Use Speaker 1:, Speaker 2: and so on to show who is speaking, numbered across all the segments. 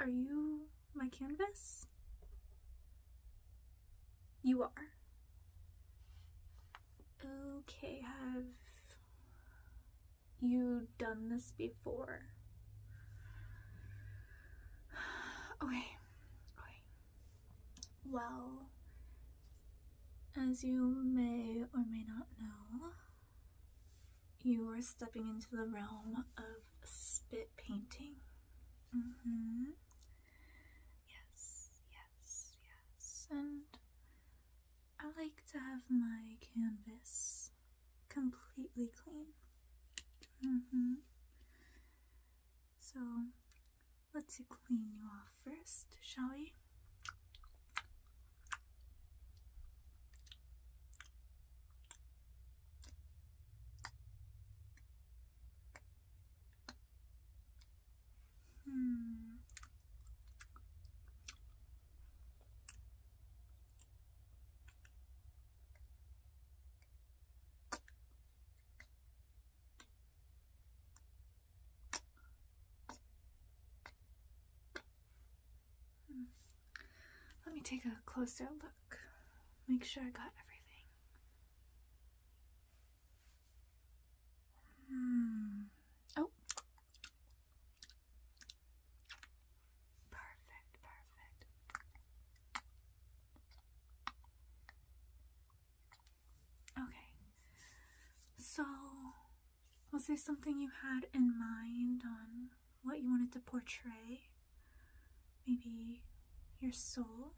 Speaker 1: Are you my canvas? You are. Okay, have you done this before? Okay, well, as you may or may not know, you are stepping into the realm of spit painting. Mm-hmm. Yes, yes, yes. And I like to have my canvas completely clean. Mm-hmm. So let's clean you off first, shall we? Hmm. Hmm. Let me take a closer look. Make sure I got everything. Hmm. Oh. perfect. Okay, so was there something you had in mind on what you wanted to portray? Maybe your soul?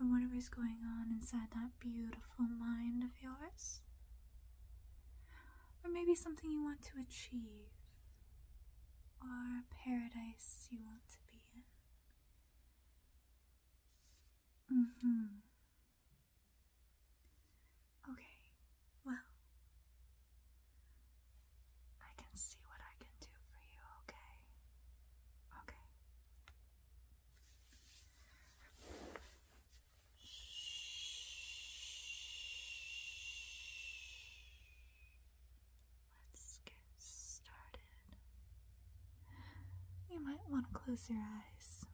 Speaker 1: Or whatever is going on inside that beautiful mind of yours? Or maybe something you want to achieve? or paradise you want to be in. hmm. Okay, well, I can see what I can do for you, okay? Okay. Shh. Let's get started. You might want to close your eyes.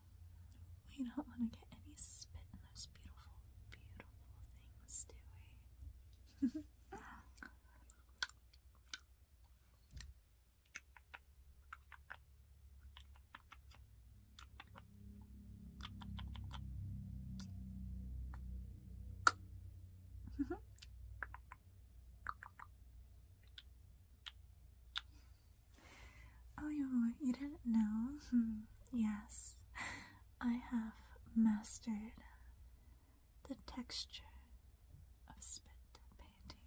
Speaker 1: We don't want to get any spit in those beautiful, beautiful things, do we? Mm-hmm. oh, you, you didn't know? yes, I have mastered the texture of spit painting.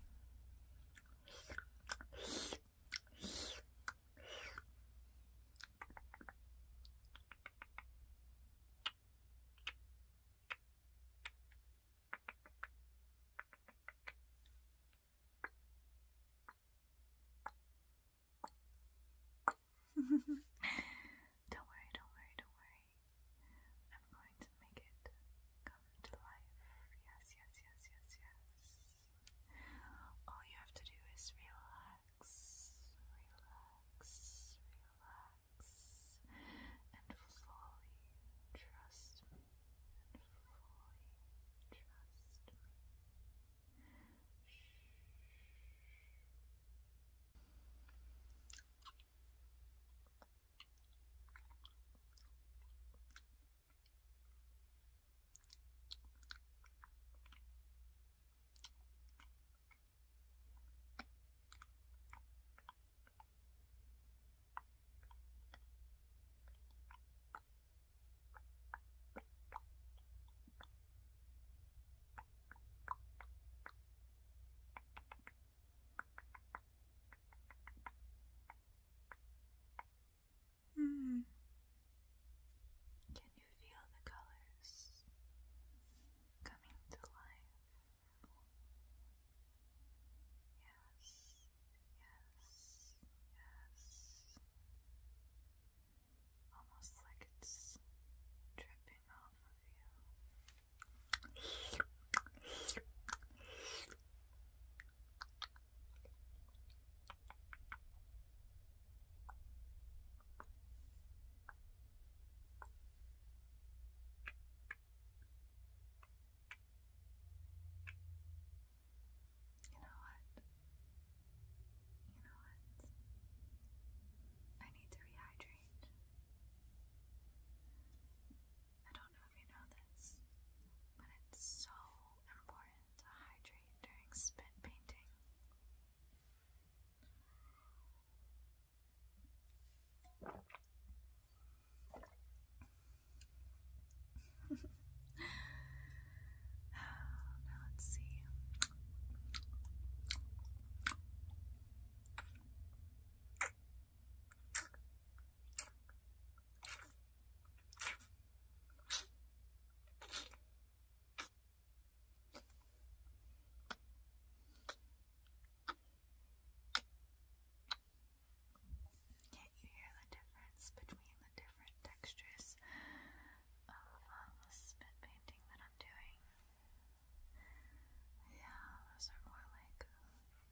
Speaker 1: don't worry, don't worry, don't worry. I'm going to make it come to life. Yes, yes, yes, yes, yes. All you have to do is realize relax, relax, relax, and fully trust me, and fully trust me. Shh. Hmm. Can you feel the colors coming to life. Yes, yes, yes. Almost like it's dripping off you. You know what? You know what? I need to rehydrate. I don't know if you know this, but it's so important to hydrate during spit painting. now let's see can you hear the difference between the different textures of um, the spit painting that I'm doing? Yeah, those are more like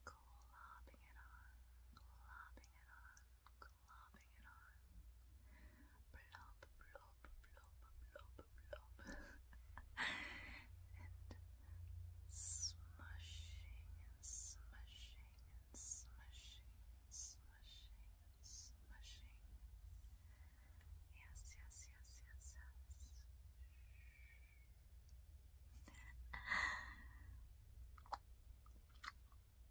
Speaker 1: globbing it on, globbing it on, globbing and smushing smushing smushing smushing smushing. Yes, yes, yes, yes, yes.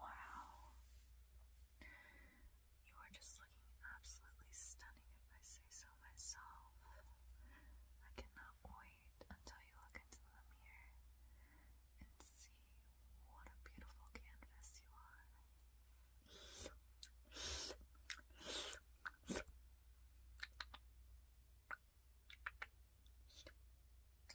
Speaker 1: Wow. You are just looking absolutely stunning, if I say so myself. I cannot wait until you look into the mirror and see what a beautiful canvas you are.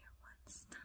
Speaker 1: You're one stunner.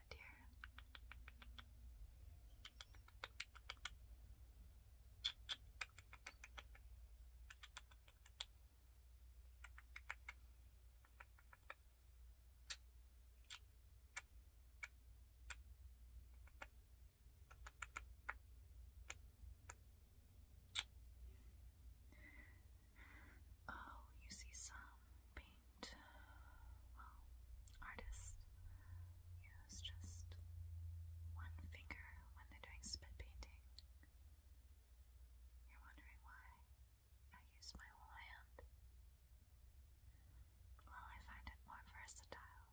Speaker 1: that, Oh, you see some pink well, use just one finger when they're doing spit painting. You're wondering why I use my whole hand? Well, I find it more versatile.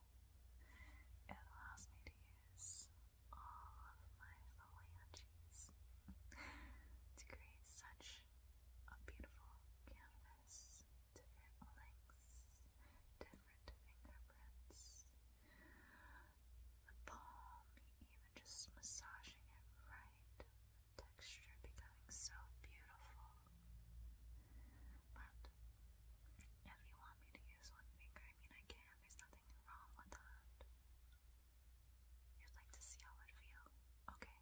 Speaker 1: It allows me to use all of my foliages to create such a beautiful canvas, different lengths, different fingerprints. The palm, even just massaging it right, texture becoming so beautiful. But if you want me to use one finger, I mean, I can, there's nothing wrong with that. You'd like to see how it feels? Okay,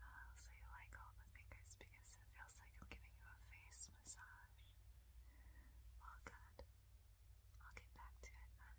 Speaker 1: Uh, so you like all the fingers because it feels like I'm giving you a face massage. Well, good. I'll get back to it then.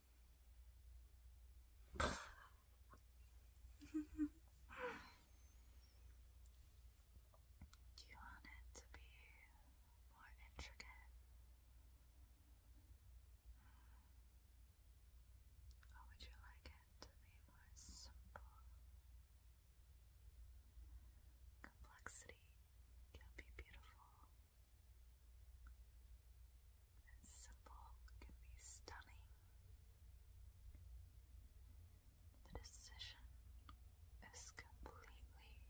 Speaker 1: Do you want it to be more intricate? Mm. Or would you like it to be more simple? Complexity can be beautiful and simple can be stunning. The decision is completely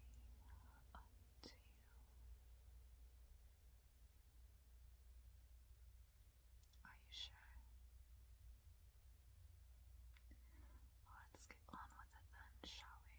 Speaker 1: up to you. Are you sure? let's get on with it then, shall we?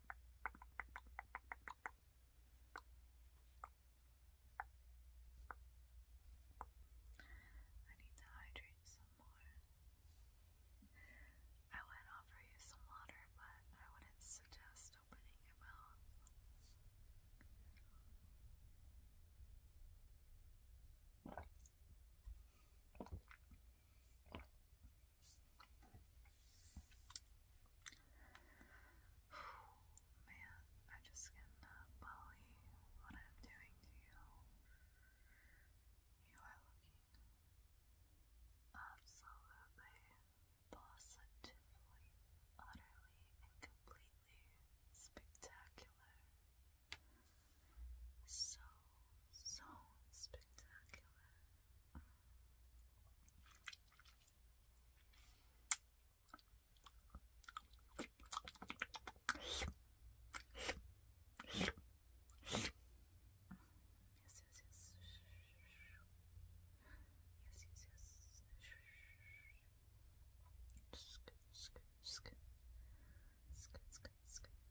Speaker 1: I need to hydrate some more. I would offer you some water, but I wouldn't suggest opening your mouth. Man, I just cannot believe what I'm doing to you. You are looking absolutely, positively, utterly, and completely spectacular. So, so spectacular yes, yes. Yes, yes, yes. Sk, sk, sk. Sk, sk, sk.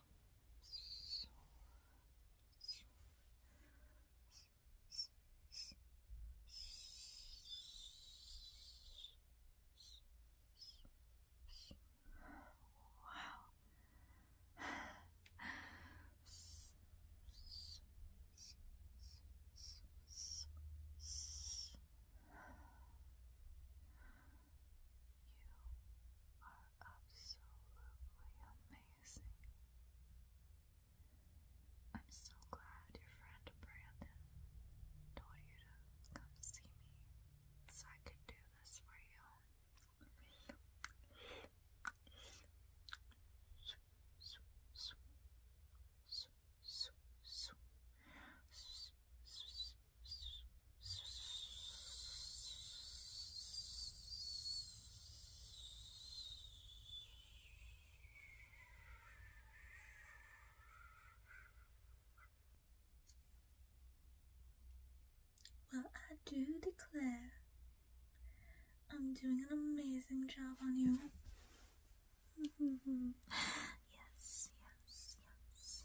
Speaker 1: Wow. You are absolutely amazing. I'm so glad your friend Brandon told you to come see me so I could do this for you. Well, I do declare I'm doing an amazing job on you. yes, yes, yes.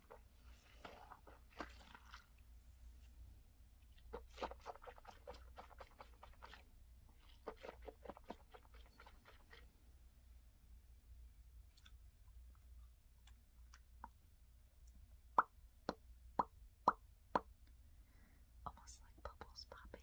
Speaker 1: Almost like bubbles popping.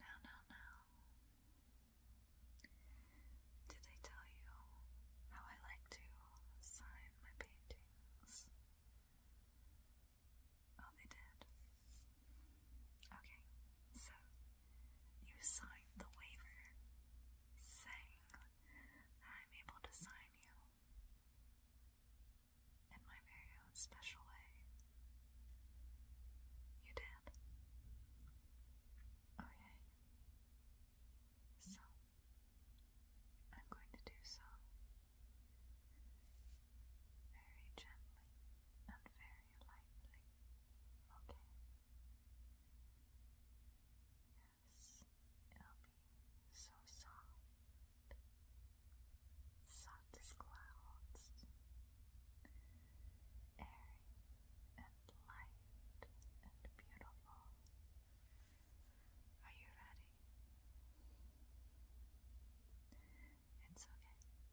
Speaker 1: Now, now, now. Did I tell you how I like to sign my paintings? Oh, they did. Okay, so you signed the waiver saying that I'm able to sign you in my very own special way. You did. Okay. So, I'm going to do so very gently and very lightly. Okay. Yes, it'll be so soft, soft clouds, airy and light and beautiful. Are you ready? It's okay.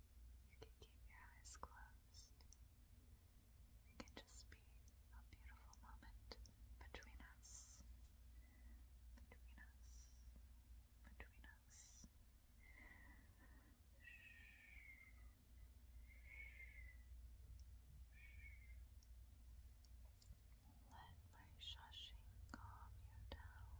Speaker 1: You can keep your eyes closed. It can just be a beautiful moment between us. Between us. Between us. Let my shushing calm you down.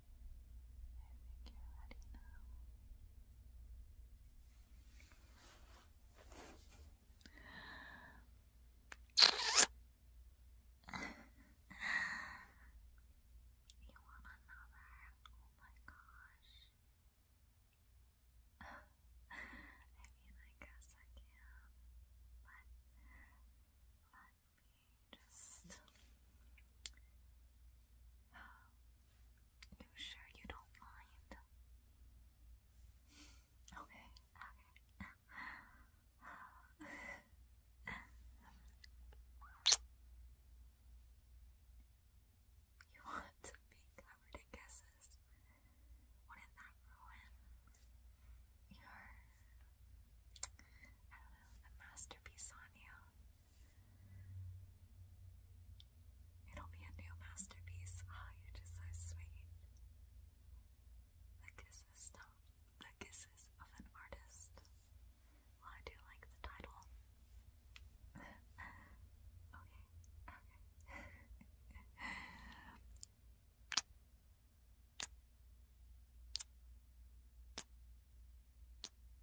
Speaker 1: I think you're ready now. you want another? Oh my gosh. I mean, I guess I can, but let me just you sure you don't mind? Okay, okay. you want to be covered in kisses? Wouldn't that ruin your, masterpiece on you? It'll be a new masterpiece. Ah, oh, so sweet. The kisses, the kisses of an artist. I do like the title. okay, okay.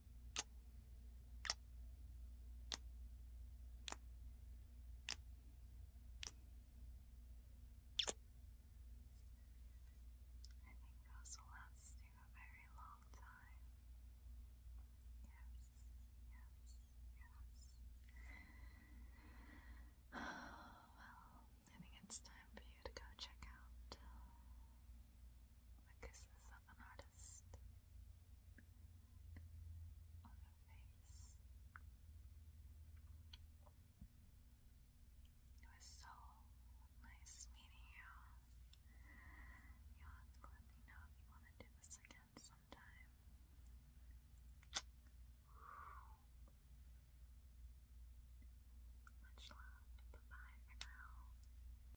Speaker 1: those will last you a very long time. Yes, yes, yes. Oh, well, I think it's time for you to go check out uh, the Kisses of an Artist on her face. It was so nice meeting you. You'll let me know if you want to do this again sometime. Much love. Bye bye for now.